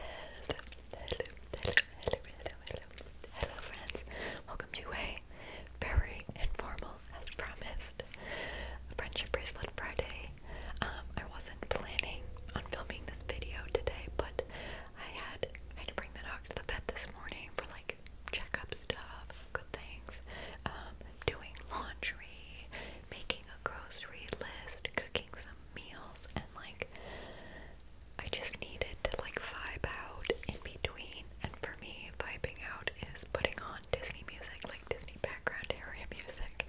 Hello, hello, hello, hello, hello, hello, hello, friends. Welcome to a very informal, as promised, Friendship Bracelet Friday. Um, I wasn't planning on filming this video today, but I had I had to bring the dog to the vet this morning for like checkup stuff, good things, um, doing laundry, making a grocery list, cooking some meals and like I just needed to like vibe out in between and for me vibing out is putting on Disney music, like Disney background area music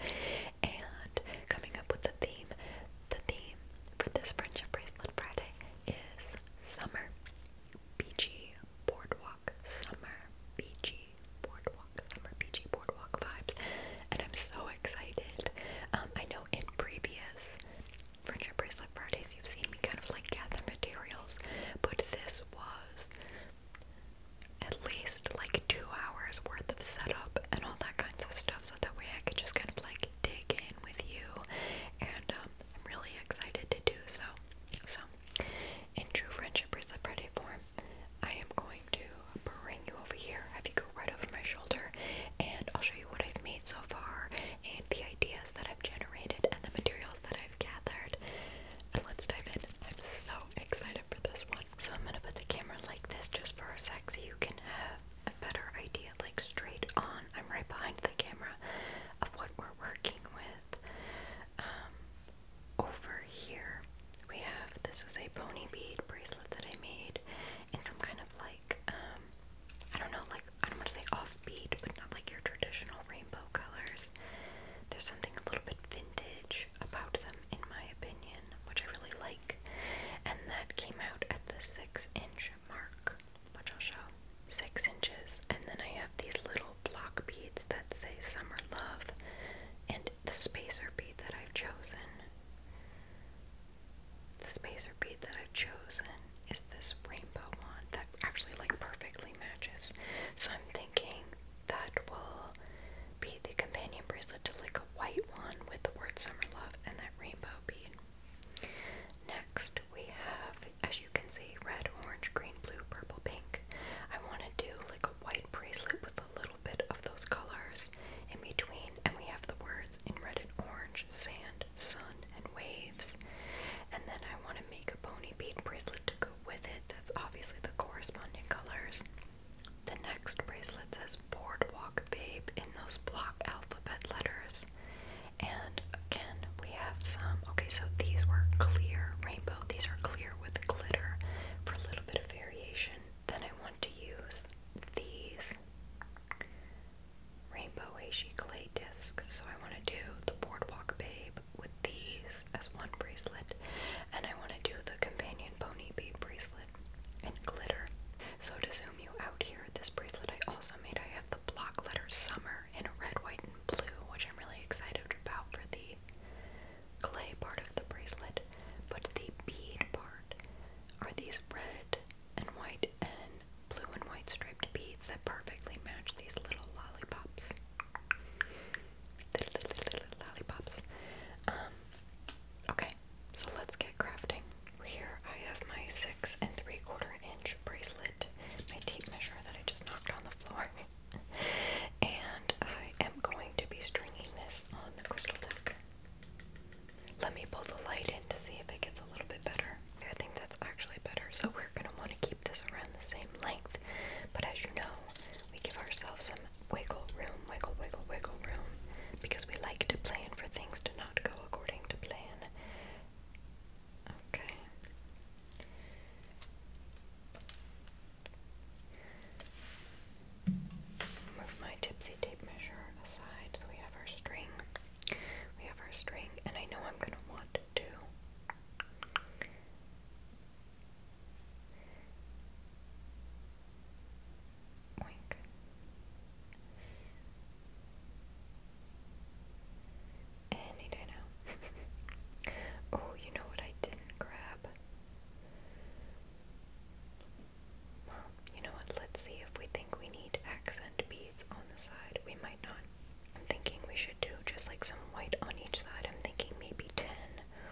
and coming up with the theme. The theme for this friendship bracelet Friday is summer beachy boardwalk summer beachy boardwalk summer beachy boardwalk vibes and I'm so excited. Um, I know in previous Friendship Bracelet Fridays, you've seen me kind of like gather materials, but this was at least like two hours worth of setup and all that kinds of stuff, so that way I could just kind of like dig in with you. And um, I'm really excited to do so. So, in true Friendship Bracelet Friday form, I am going to bring you over here, have you go right over my shoulder, and I'll show you what I've made so far, and the ideas that I've generated, and the materials that I've gathered. And let's dive in. I'm so excited for this one. So I'm gonna put the camera like this just for a sec so you can have a better idea, like straight on. I'm right behind the camera of what we're working with. Um, over here, we have this is a pony bead bracelet that I made in some kind of like um, I don't know, like I don't want to say offbeat, but not like your traditional rainbow colors. There's something a little bit vintage about them, in my opinion, which I really like. And that came out at the six inch mark, which I'll show. Six inches. And then I have these little block beads that say Summer Love and the spacer bead that I've chosen. This spacer bead that I've chosen is this rainbow one that actually like perfectly matches. So I'm thinking that will be the companion bracelet to like a white one with the word summer love and that rainbow bead. Next we have, as you can see, red, orange, green, blue, purple, pink. I want to do like a white bracelet with a little bit of those colors in between, and we have the words in red and orange, sand, sun, and waves. And then I want to make a bony bead bracelet to go with it. That's obviously the corresponding colors. The next bracelet says Boardwalk Babe in those block alphabet letters. And again, we have some. Okay, so these were clear rainbow. These are clear with glitter for a little bit of variation. Then I want to use these Rainbow Heishi clay discs. So I want to do the Boardwalk Babe with these as one bracelet, and I want to do the Companion Pony Bead bracelet and glitter. So to zoom you out here, this bracelet I also made, I have the block letter Summer in red, white, and blue, which I'm really excited about for the clay part of the bracelet, but the bead part are these red and white and blue and white striped beads that perfectly match these little lollipops. lollipops. Um, okay, so let's get crafting. Here I have my six and three quarter inch bracelet, my tape measure that I just knocked on the floor. and I am going to be stringing this on the crystal deck. Let me pull the light in to see if it gets a little bit better. I think that's actually better. So we're going to want to keep this around the same length. But as you know, we give ourselves some wiggle room, wiggle, wiggle, wiggle room. Because we like to plan for things to not go according to plan. Okay. Move my tipsy tape measure aside so we have our string. We have our string, and I know I'm going to want to. Oink. Any day now. oh, you know what I didn't grab? you know what, let's see if we think we need accent beads on the side. We might not. I'm thinking we should do just like some white on each side. I'm thinking maybe 10.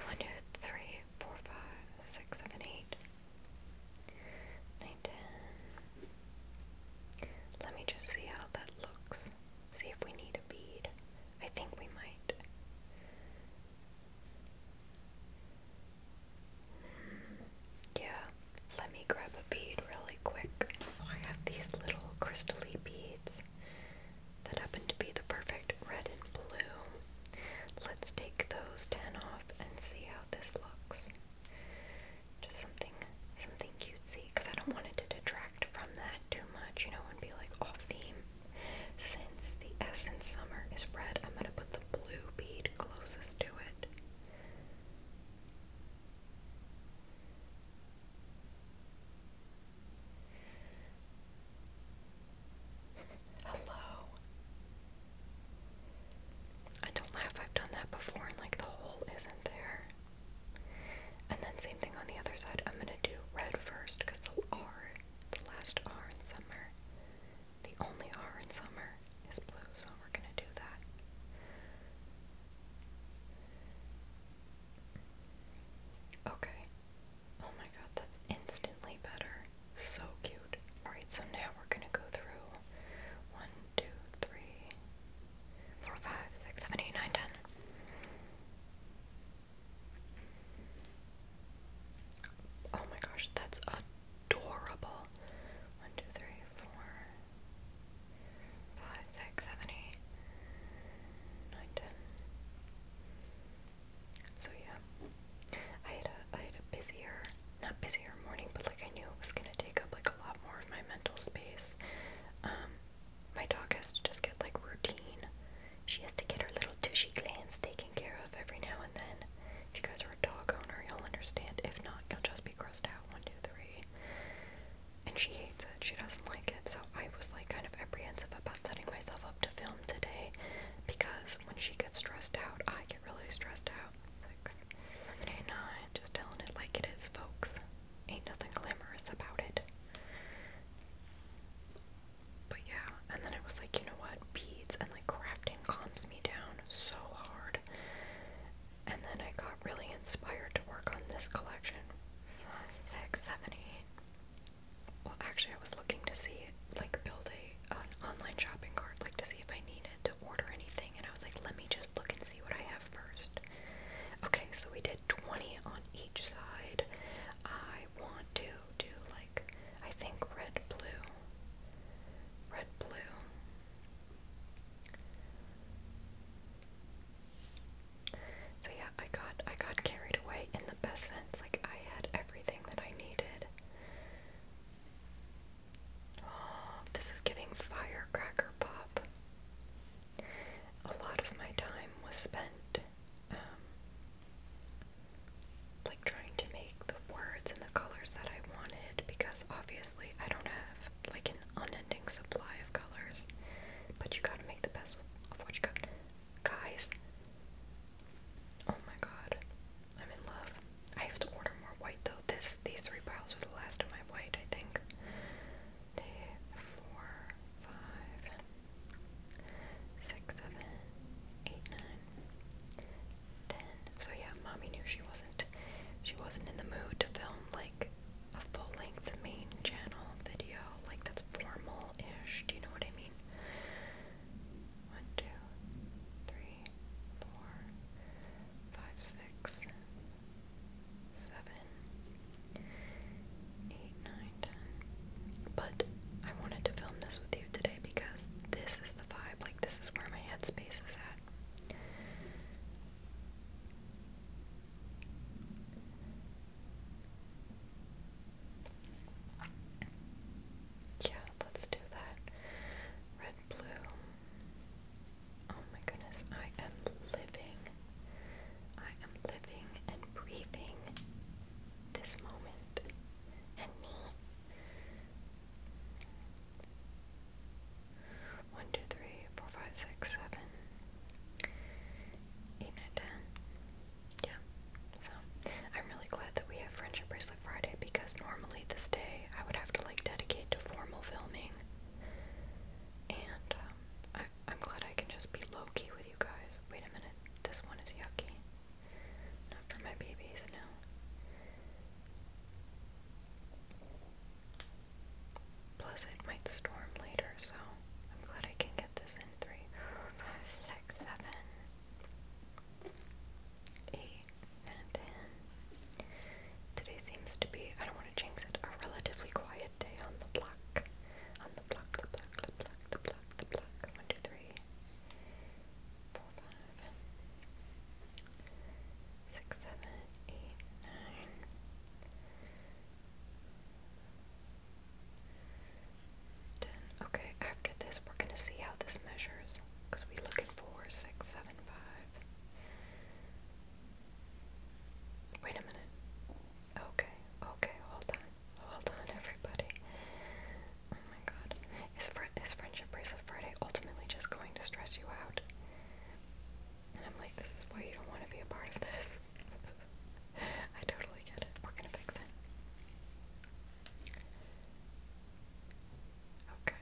1, 2, 3, 4, 5, 6, 7, 8, 9, 10. Let me just see how that looks. See if we need a bead. I think we might. Yeah, let me grab a bead really quick. I have these little crystally beads that happen to be the perfect red and blue. Let's take those 10 off and see how this looks. Just something something cutesy, because I don't want it to detract from that too much, you know, and be like off theme. Since the Essence Summer is red, I'm going to put the blue bead closest to it. Hello. I don't laugh, I've done that before, and like the hole isn't there. And then, same thing on the other side. I'm gonna do red first because the R, the last R in summer. The only R in summer is blue, so we're going to do that. Okay. Oh my god, that's instantly better. So cute. Alright, so now we're gonna go through 1, Oh my gosh, that's a adorable. One, two, three, four, five, six, seven, eight, nine, ten. So yeah, I had a I had a busier, not busier morning, but like I knew it was gonna take up like a lot more of my mental space. Um, my dog has to just get like routine. She has to get her little tushy glands taken care of every now and then. If you guys are a dog owner, you'll understand. If not, you'll just be grossed out. One, two, three. And she hates it. She doesn't like it. So I was like kind of apprehensive about setting myself up to film today because when she gets stressed out, I get really stressed out. Six, seven, eight, nine. Just telling it like it is, folks. Ain't nothing glamorous about it. But yeah, and then I was like, you know what, beads and like crafting calms me down so hard. And then I got really inspired to work on this collection. Five, six, seven, eight. Well, actually, I was looking to see, like, build a an online shopping cart, like, to see if I needed to order anything. And I was like, let me just look and see what I have first. Okay, so we did 20 on each side. I want to do like. I think red blue. Red blue. So yeah, I got I got carried away in the best sense. Like I had everything that I needed. this is giving firecracker pop. A lot of my time was spent um, like trying to make the words and the colors that I wanted because obviously I don't have like an unending supply of colors, but you gotta make the best of what you got. Guys, oh my god, I'm in love. I have to order more white though. This these three piles are the last of my white, I think. four, five, six, seven, eight, nine ten. So yeah, mommy knew she wasn't she wasn't in the mood to film like a full length main channel video. Like that's formal ish. Do you know what I mean? One, two, three, four, five, six, seven, eight, nine, ten. But I wanted to film this with you today because this is the vibe. Like, this is where my headspace is at. Yeah, let's do that. Red, blue. Oh my goodness, I am living. I am living and breathing this moment and me. One, two, three, four, five, six, seven, eight, nine, ten. Yeah. So I'm really glad that we have Friendship Bracelet Friday because normally this day I would have to like dedicate to formal filming. And um, I, I'm glad I can just be low key with you guys. Wait a minute, this one is yucky. Not for my babies, no. Plus, it might storm later, so I'm glad I can get this in three, five, six, seven, eight, and Today seems to be, I don't want to jinx it, a relatively quiet day on the block. On the block, the block, the block, the block, the block. One, two, three, four, five six, seven, Okay, after this, we're going to see how this measures because we're looking for six, seven, five. Wait a minute. Okay, okay, hold on. Hold on, everybody. Oh my god. Is, fr is Friendship Bracelet Friday ultimately just going to stress you out? And I'm like, this is why you don't want to be a part of this. I totally get it. We're gonna fix it. Okay.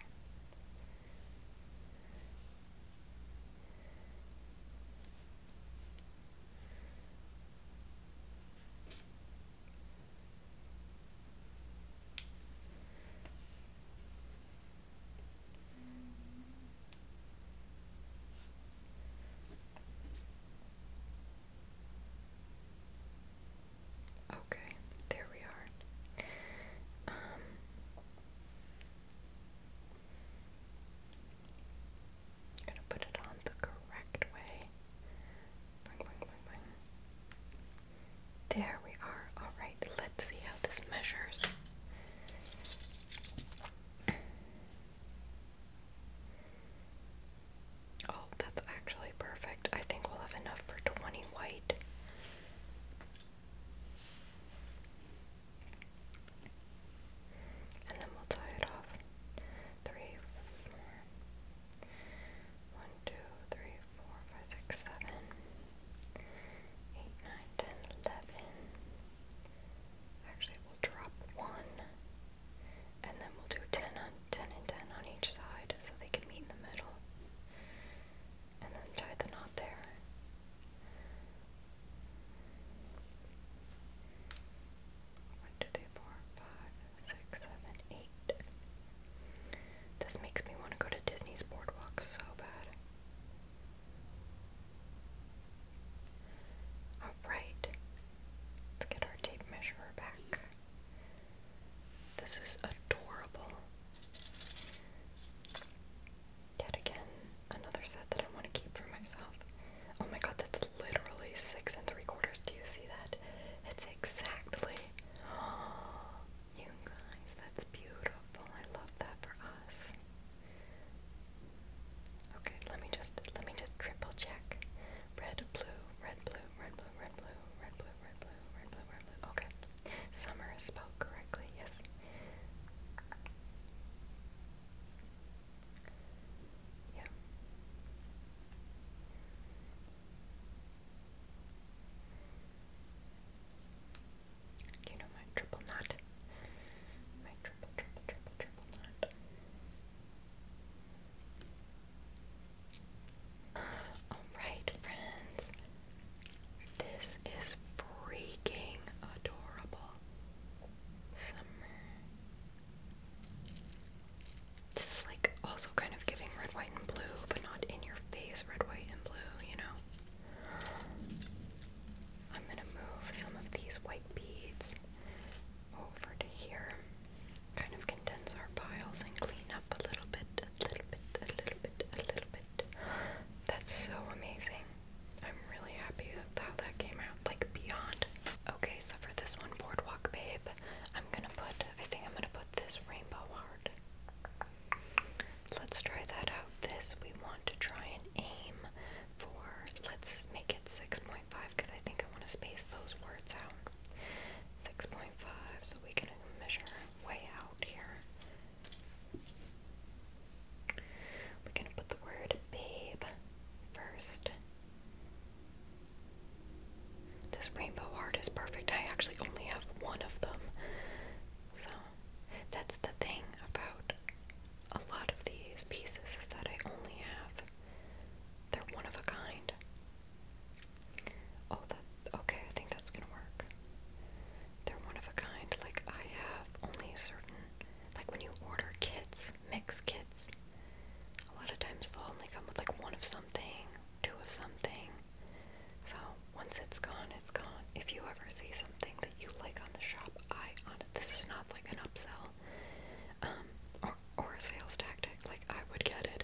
Okay, there we are. Um, gonna put it on the correct way. There we are. Alright, let's see how this measures. Oh, that's actually perfect. I think we'll have enough for 20 white. And then we'll tie it off. Three, One, two, three, four, five, six, seven, eight, nine, ten, eleven. Actually, we'll drop one, and then we'll do ten on ten and ten on each side, so they can meet in the middle, and then tie the knot there. One, two, three, four, five, six, seven, eight. This makes me want to go to Disney's Boardwalk so bad. Alright, let's get our tape measure back. This is adorable. Yet again, another set that I want to keep for myself. Oh my god, that's literally six and three quarters. Do you see that? It's exactly You guys, that's beautiful. I love that for us. Okay, let me just let me just triple check. Red, blue, red, blue, red, blue, red, blue, red, blue, red, blue, red, blue, red, blue. Okay. Summer is spelled correctly, yes. Yeah you know my triple knot? My triple, triple, triple, triple knot. Alright, friends. This is freaking adorable. Summer. This is like also kind of giving red, white, and blue, but not in your face red, white, and blue, you know? I'm gonna move some of these white beads over to here. Kind of condense our piles and clean up a little bit, a little bit, a little bit, a little bit. That's so amazing. I'm really happy with how that came out, like beyond. Okay, so for this one, Boardwalk Babe, I'm gonna put, I think I'm gonna put this rainbow heart. Let's try that out. This we want to try and aim for, let's make it 6.5 because I think I want to space those words out. 6.5 so we can measure way out here. We're gonna put the word babe first. This rainbow art is perfect. I actually only have one of them. So that's the thing about a lot of these pieces is that I only have they're one of a kind. Oh that okay, I think that's gonna work. They're one of a kind. Like I have only certain like when you order kits, mix kits, a lot of times they'll only come with like one of something, two of something, so once it's gone, it's gone. If you ever see something that you like on the shop, I on it. This is not like an upsell um, or or a sales tactic. Like I would get it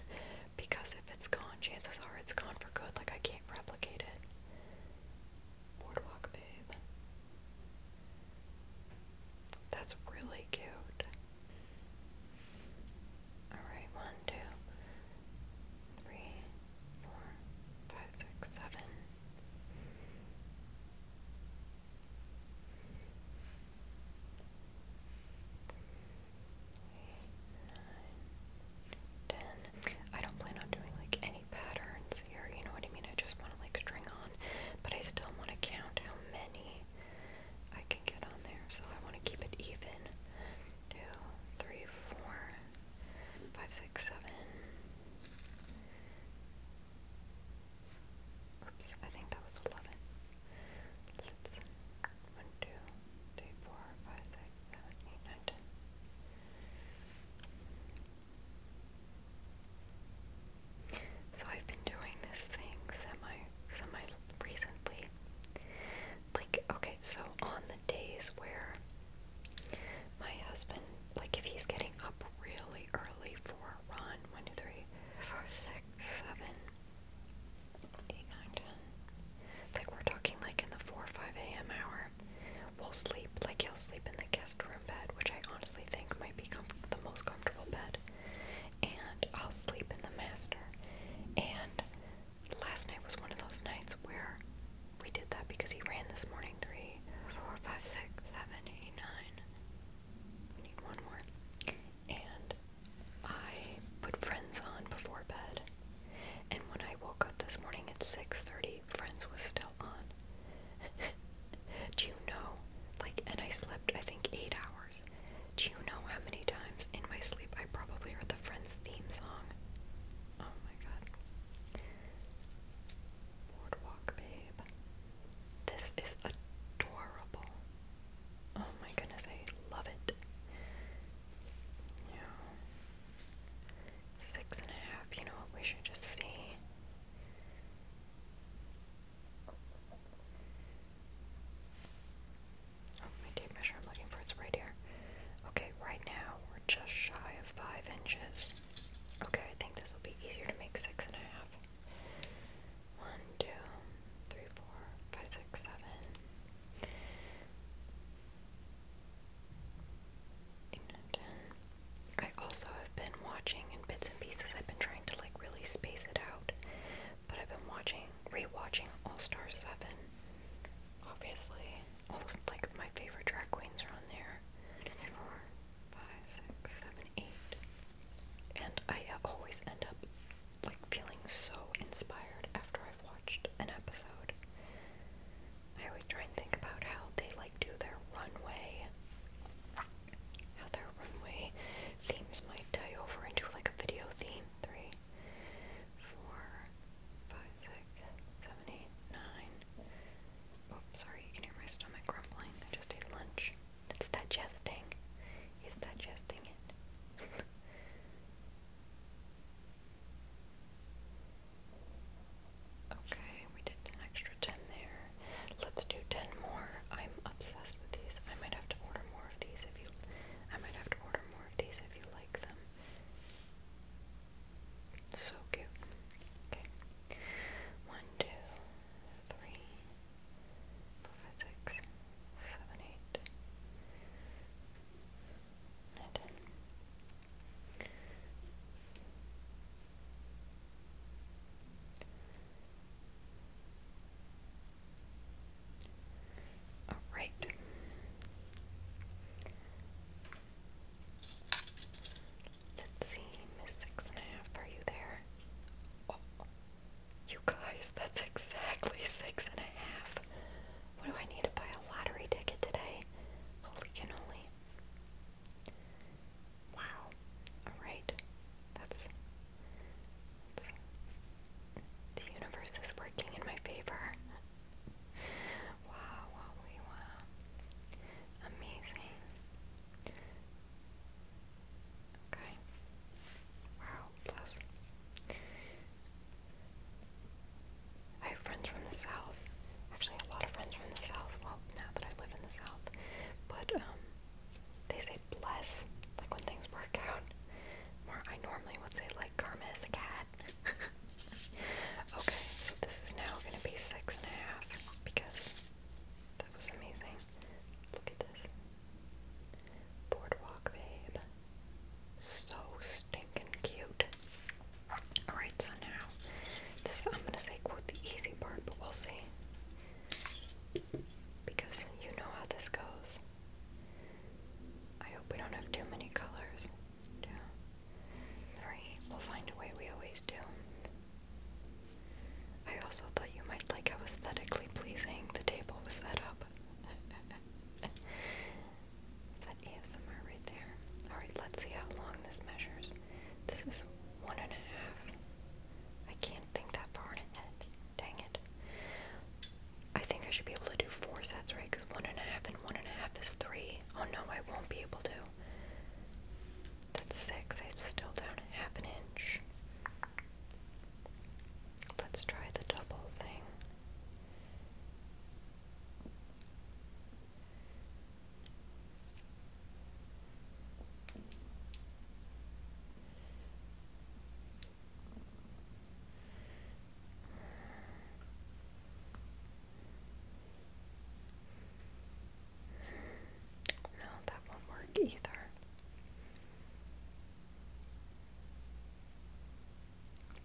because if it's gone, chances are it's gone for good. Like I can't replicate it. Boardwalk babe. That's really cute. Alright, one, two, three, I don't plan on doing like any patterns here, you know what I mean? I just want to like string on, but I still want to count how many I can get on there. So I want to keep it even. Two, three, four, five, six, seven. Oops, I think that was 11. let So I've been doing this thing semi, semi recently like okay, so on the days where my husband, like if he's getting up really early for a run, one, two, three, four, six, seven, eight, nine, ten. Like we're talking like in the four or five AM hour. We'll sleep, like he'll sleep in the guest room bed, which I honestly think might be comf the most comfortable bed. And I'll sleep in the master. And last night was one of those nights where we did that because he ran this morning. Three, four, five, six, seven, eight, nine. We need one more. And I put Friends on before bed. And when I woke up this morning at 6:30, Friends was still on. Do you know? Like, and I slept I think eight hours. Do you know how many times in my sleep I probably heard the Friends theme song? Oh my god. Boardwalk Babe. This is adorable. Oh my goodness, I love it. Yeah. Six and a half, you know what we should just see. Oh, my tape measure, I'm looking for it's right here. Okay, right now we're just shy of five inches. Okay, I think this will be easier to make six and a half. One, two, three, I also have been watching in bits and pieces. I've been trying to like really space it out but I've been watching, rewatching All Star 7. Obviously, all of, like my favorite drag queens are on there. Four, five, six, seven, eight. And I always end up like feeling so inspired after I've watched an episode. I always try and think about how they like do their runway. How their runway themes might tie over into like a video theme. Three, three, four, five, six, seven, eight, nine. Oops, oh, sorry, you can hear my stomach grumbling. I just ate lunch. It's digesting. It's digesting it. okay, we did an extra 10 there. Let's do 10 more. I'm obsessed with these. I might have to order more of these if you. I might have to order more more of these if you like them. So cute. Okay. One, two, three, four, five, six, seven, eight, nine, ten. Eleven, Alright. Let's see, Six and a Half, are you there? Oh, you guys, that's exactly six and a half. What do I need to buy a lottery ticket today? Holy cannoli. Wow. Alright. That's the universe is working in my favor. wow, wow, wow. Amazing. Okay. Wow, plus. I have friends from the south. Actually, a lot of friends from the south. Well, now that I live in the south, but um, they say less, like when things work out more. I normally would say, like, karma is a cat. okay, this is now gonna be six and a half because that was amazing. Look at this boardwalk, babe. So stinking cute. Alright, so now this I'm gonna say quote the easy part, but we'll see. Because you know how this goes. I hope we don't have too many colors. Two, three. We'll find a way. We always do. I also thought you might like how aesthetically pleasing the table was set up. that ASMR right there. Alright, let's see how long this measures. This is one and a half. I can't think that far ahead. Dang it. I think I should be able to do four sets, right? Because one and a half and one and a half is three. Oh no, I won't be able to. That's six. I'm still down half an inch. Let's try the double thing. No, that won't work either.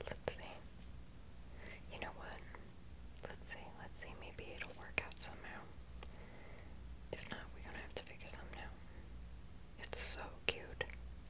Let's see. You know what? Let's see. Let's see. Maybe it'll work out somehow. If not, we're gonna have to figure something out. It's so cute.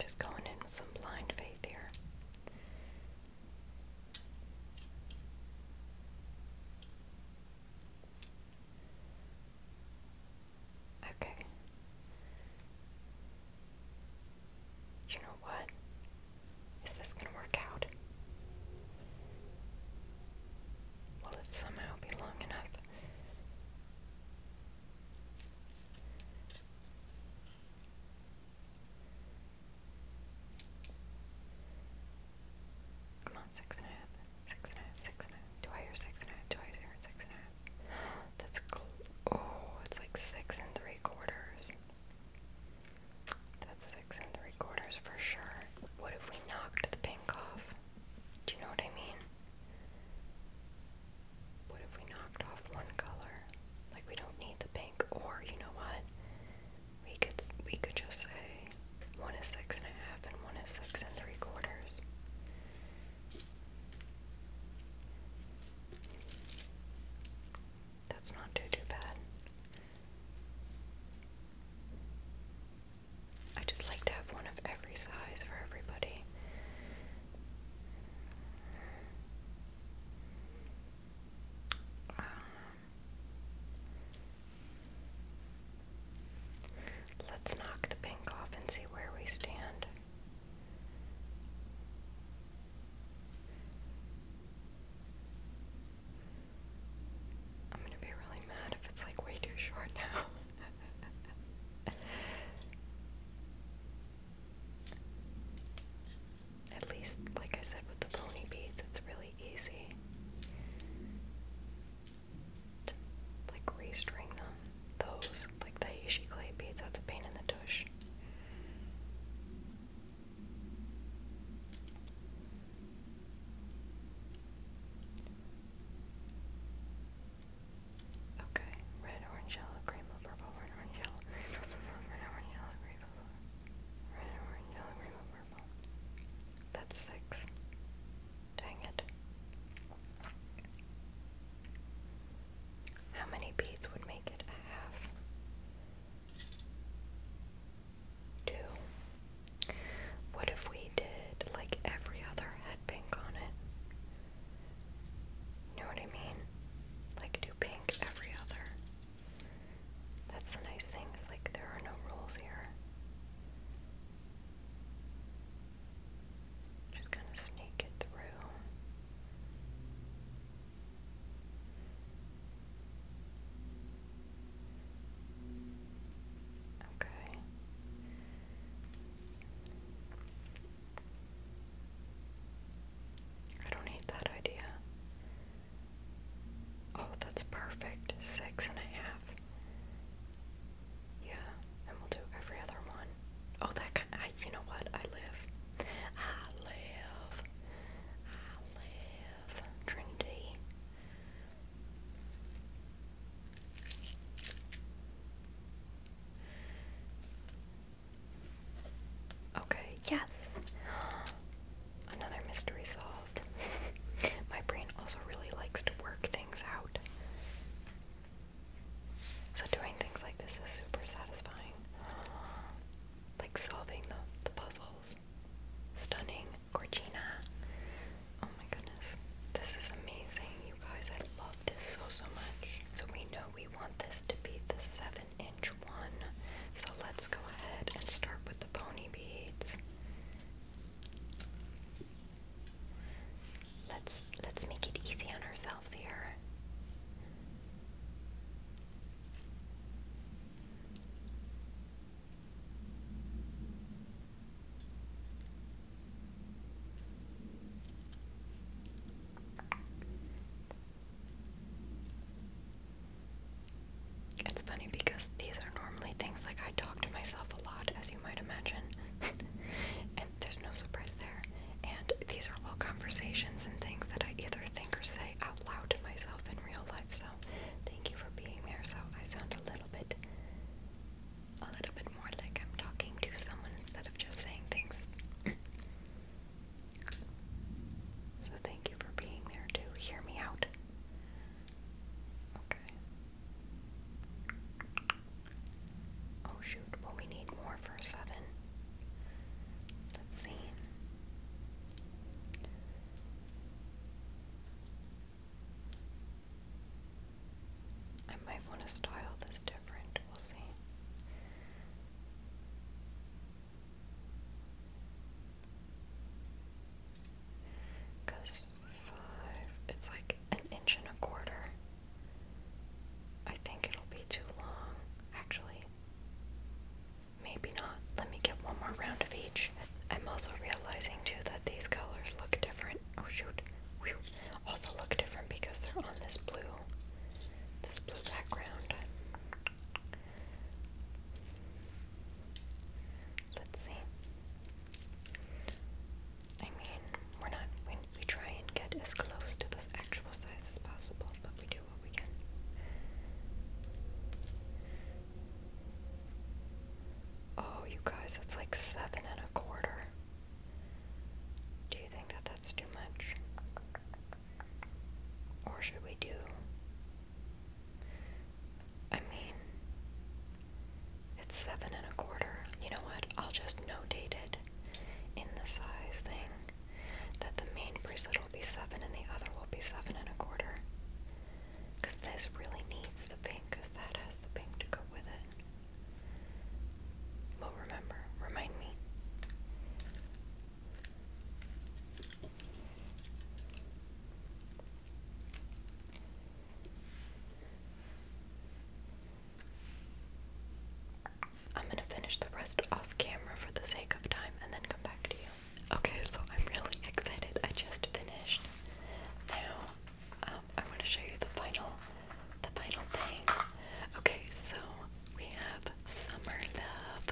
Just going in with some blind faith here. Okay. You know what? Is this going to work out? Will it somehow be long enough? Come on, six and a half, six and a half, six and a half. Do I six and a half? Do I six and a half? That's oh, it's like six and three quarters. That's six and three quarters for sure. What if we knocked the pink off? Do you know what I mean? What if we knocked off one color? Like we don't need the pink, or you know what? We could we could just say one is six and a half and one is six and three quarters. That's not too too bad. I just like to have one of every size for everybody let's knock the pink off and see where we stand. I'm gonna be really mad if it's like way too short now. At least, like I said, with the pony beads, it's really easy like restring them. Those, like the Heishi clay beads, that's a pain in the tush. Okay, red, orange, yellow, green, blue, purple, red, orange, yellow, green, blue, purple, red, orange, yellow, green, blue, red, orange, yellow, green, blue, purple. That's six. Dang it. How many beads would make it a half? Two. What if we did like every other had pink on it? know what I mean? Like do pink every other. That's the nice thing, is like there are no rules here. Just gonna sneak it through. Okay. I don't hate that idea. Oh, that's perfect. Six and a half. Yeah, and we'll do every other one. Oh, that kind you know what? I live. I live. I live. Trinity. Okay, yes. Another mystery solved. My brain also really likes to work things out. So doing things like this is super satisfying. Like solving the, the puzzles. Stunning. Gorgina. Oh my goodness. This is amazing, you guys. I love this so, so much. So we know we want this to be the 7 inch one. So let's go ahead and start with the pony beads. Let's let's make it easy on ourselves here. It's funny because these are normally things like I talk to myself a lot, as you might imagine, and there's no surprise there. And these are all conversations and things that I either think or say out loud to myself in real life. So thank you for being there. So I sound a little bit, a little bit more like I'm talking to someone instead of just saying things. So thank you for being there to hear me out. Okay. Oh shoot, well we need more for seven. Let's see. I might want to style this different but five. It's like an inch and a quarter. I think it'll be too long, actually. Maybe not. Let me get one more round of each. I'm also realizing too that these colors look different. Oh shoot also look different because they're on this blue this blue background. Let's see. I mean, we're not we, try and get as close to this actual size as possible, but we do what we can. Oh, you guys, That's like seven and a quarter. Do you think that that's too much? Or should we do? I mean, it's seven and a quarter. You know what? I'll just notate it in the size thing that the main bracelet will be seven and the other will be seven and a quarter. Because this really needs the pink, because that has the pink to go with it. But remember, remind me. I'm gonna finish the rest off camera for the sake of time and then come back to you. Okay, so I'm really excited. I just finished. Now, um, I want to show you the final the final thing. Okay, so we have summer love.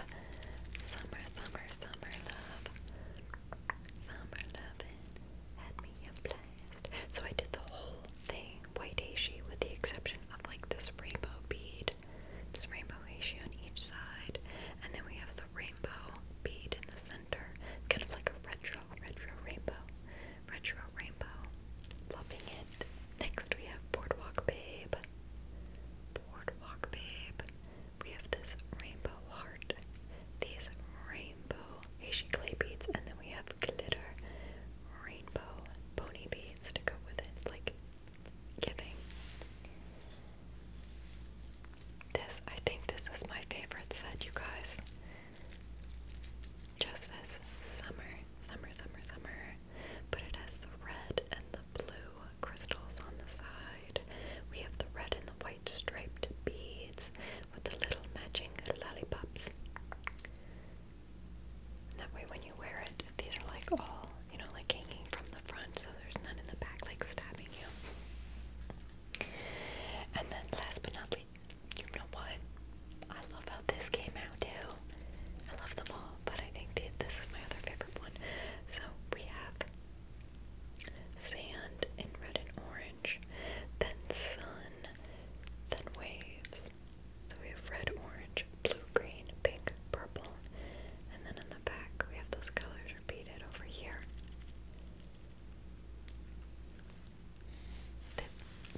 Summer, summer, summer love. Summer loving had me blessed. So I did the whole thing white with the exception of like this rainbow bead. This rainbow on each side. And then we have the rainbow bead in the center. Kind of like a retro, retro rainbow. Retro rainbow. Loving it. Next we have Boardwalk Babe. Boardwalk Babe. We have this rainbow heart. These rainbow Asian clay beads, and then we have glitter rainbow pony beads to go with it. It's like giving. This, I think this is my favorite set, you guys. Just this summer, summer, summer, summer but it has the red and the blue crystals on the side. We have the red and the white striped beads with the little matching lollipops. That way, when you wear it, these are like all, you know, like hanging from the front, so there's none in the back, like stabbing you. And then, last but not least, you know what? I love how this came out too. I love them all, but I think that this is my other favorite one. So we have sand in red and orange, then sun, then waves. So we have red, orange, blue, green, pink, purple, and then in the back we have those colors repeated over here.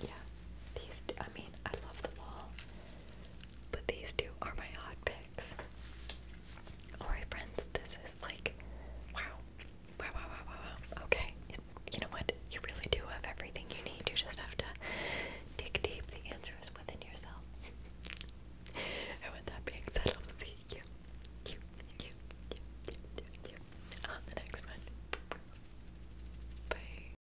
yeah, these. I mean, I love them all. But these two are my odd picks. Alright, friends, this is like wow. Wow, wow, wow, wow, Okay, you know what? You really do have everything you need. You just have to dig deep. The answer is within yourself. and with that being said, I'll see you on the next one. Bye.